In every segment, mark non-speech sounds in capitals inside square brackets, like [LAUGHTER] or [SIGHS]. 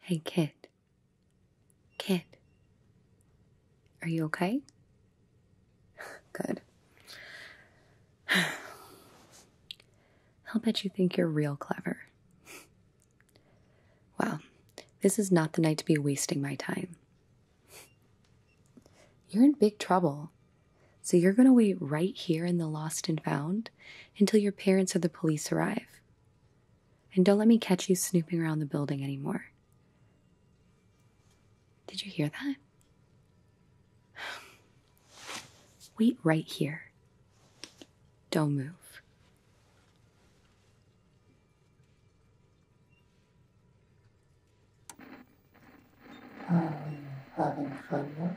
Hey, kid. Kid. Are you okay? [LAUGHS] Good. [SIGHS] I'll bet you think you're real clever. [LAUGHS] Well, this is not the night to be wasting my time. [LAUGHS] You're in big trouble. So you're going to wait right here in the lost and found until your parents or the police arrive. And don't let me catch you snooping around the building anymore. Did you hear that? [SIGHS] [SIGHS] Wait right here. Don't move. Are you having fun yet?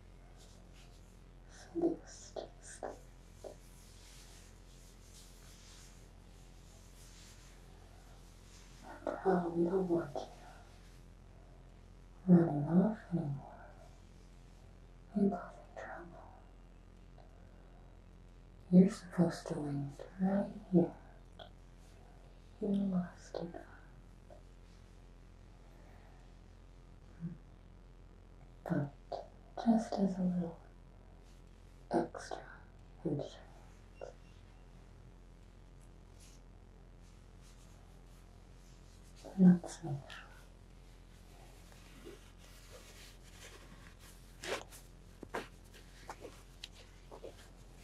Next step. And how we don't want you running off anymore causing trouble. You're supposed to land right here. You lost it. But just as a little extra Not so.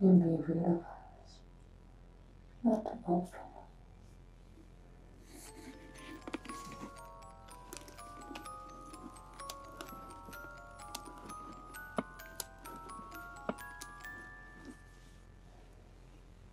You may realize that open.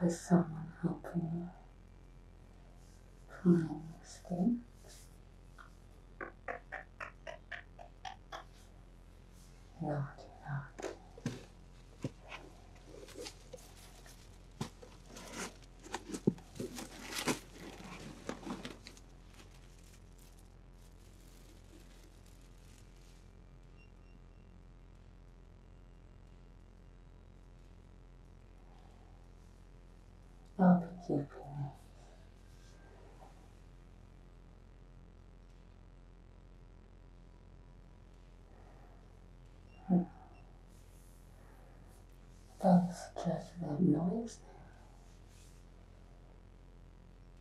with someone helping you from your Naughty, naughty up your breath. Hmm. Both just the noise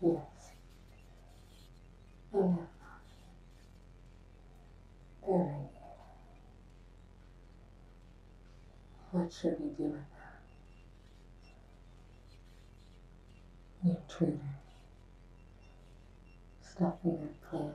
Yes. I very What should we do with that? New trigger. Stuffing your plans.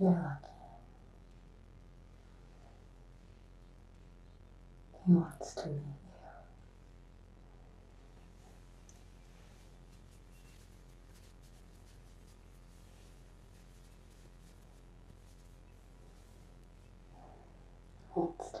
You're lucky. He wants to meet you. It's time.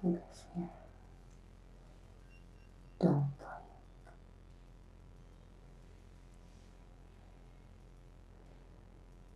fingers here. Don't blink.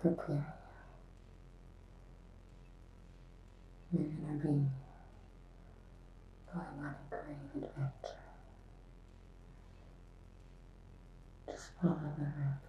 Prepare you. You're gonna be going on a great adventure. Just follow the rabbit.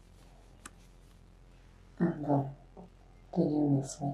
and then, the this way.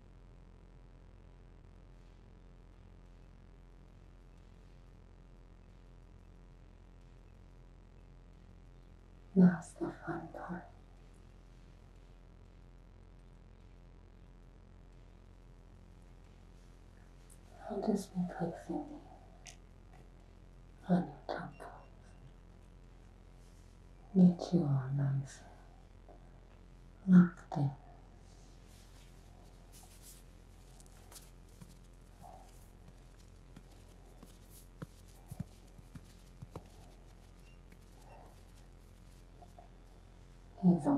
Now's the fun part. I'll just be placing you on your top coat. Get you all nice なくて。いいぞ。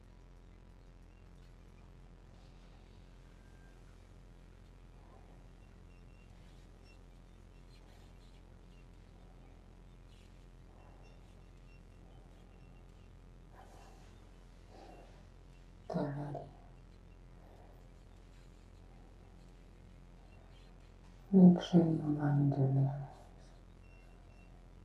Make sure you wind your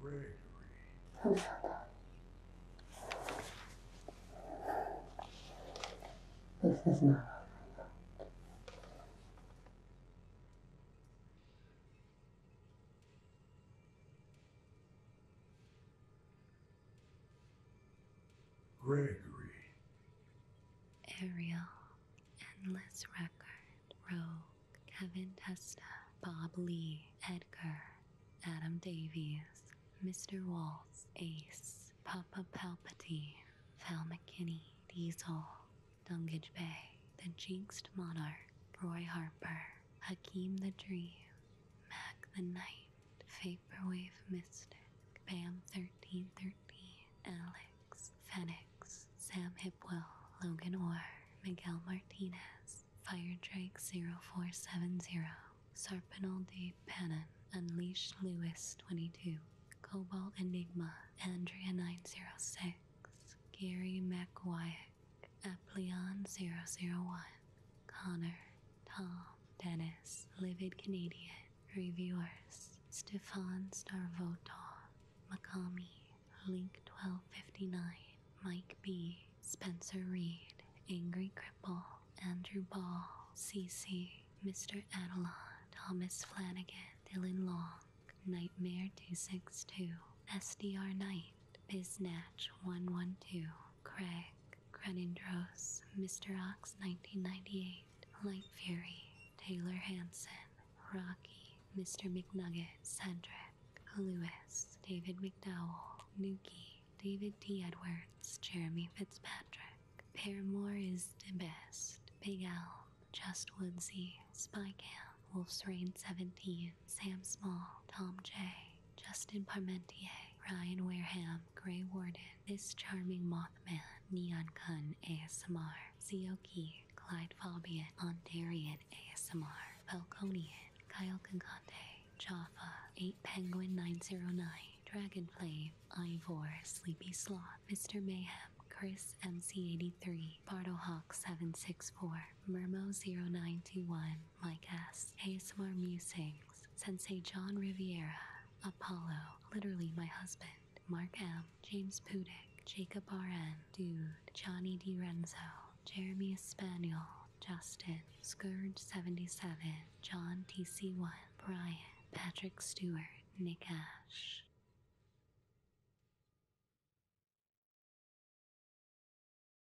Gregory. This is not. Gregory. Ariel, Endless Record, Rogue, Kevin Testa, Bob Lee, Edgar, Adam Davies, Mr. Waltz, Ace, Papa Palpatine, Val McKinney, Diesel, Dungage Bay, The Jinxed Monarch, Roy Harper, Hakeem the Dream, Mac the Knight, Faye Vaporwave Mystic, Pam 1313, Alex, Fenix, Sam Hipwell, Logan Orr, Miguel Martinez, Fire Drake 0470, Sarpinal de Pannon, Unleash Lewis 22, Cobalt Enigma, Andrea 906, Gary McWyack, Apleon 001, Connor, Tom, Dennis, Livid Canadian, Reviewers, Stefan Starvotov, Makami, Link1259, Mike B, Spencer Reed, Angry Cripple, Andrew Ball, CC, Mr. Adelon, Thomas Flanagan, Dylan Long, Nightmare262, SDR Knight, Biznatch112, Craig, Crenindros, Mr. Ox 1998, Light Fury, Taylor Hanson, Rocky, Mr. McNugget, Cedric, Lewis, David McDowell, Nuki, David T. Edwards, Jeremy Fitzpatrick. Paramore is the best. Big Elm, Just Woodsy, Spy Camp, Wolf's Rain 17, Sam Small, Tom J., Justin Parmentier, Ryan Wareham, Gray Warden, This Charming Mothman, Neon Kun ASMR, Zioki, Clyde Fabian, Ontarian ASMR, Falconian, Kyle Concante, Jaffa, 8 Penguin 909, Dragonflame, Ivor, Sleepy Sloth, Mr. Mayhem, Chris MC83, Hawk 764 Mermo0921, my guests, ASMR Musings, Sensei John Riviera, Apollo, literally my husband, Mark M, James Pudick, Jacob RN, Dude, Johnny D. Renzo Jeremy Espanol, Justin, Scourge77, John TC1, Brian, Patrick Stewart, Nick Ash.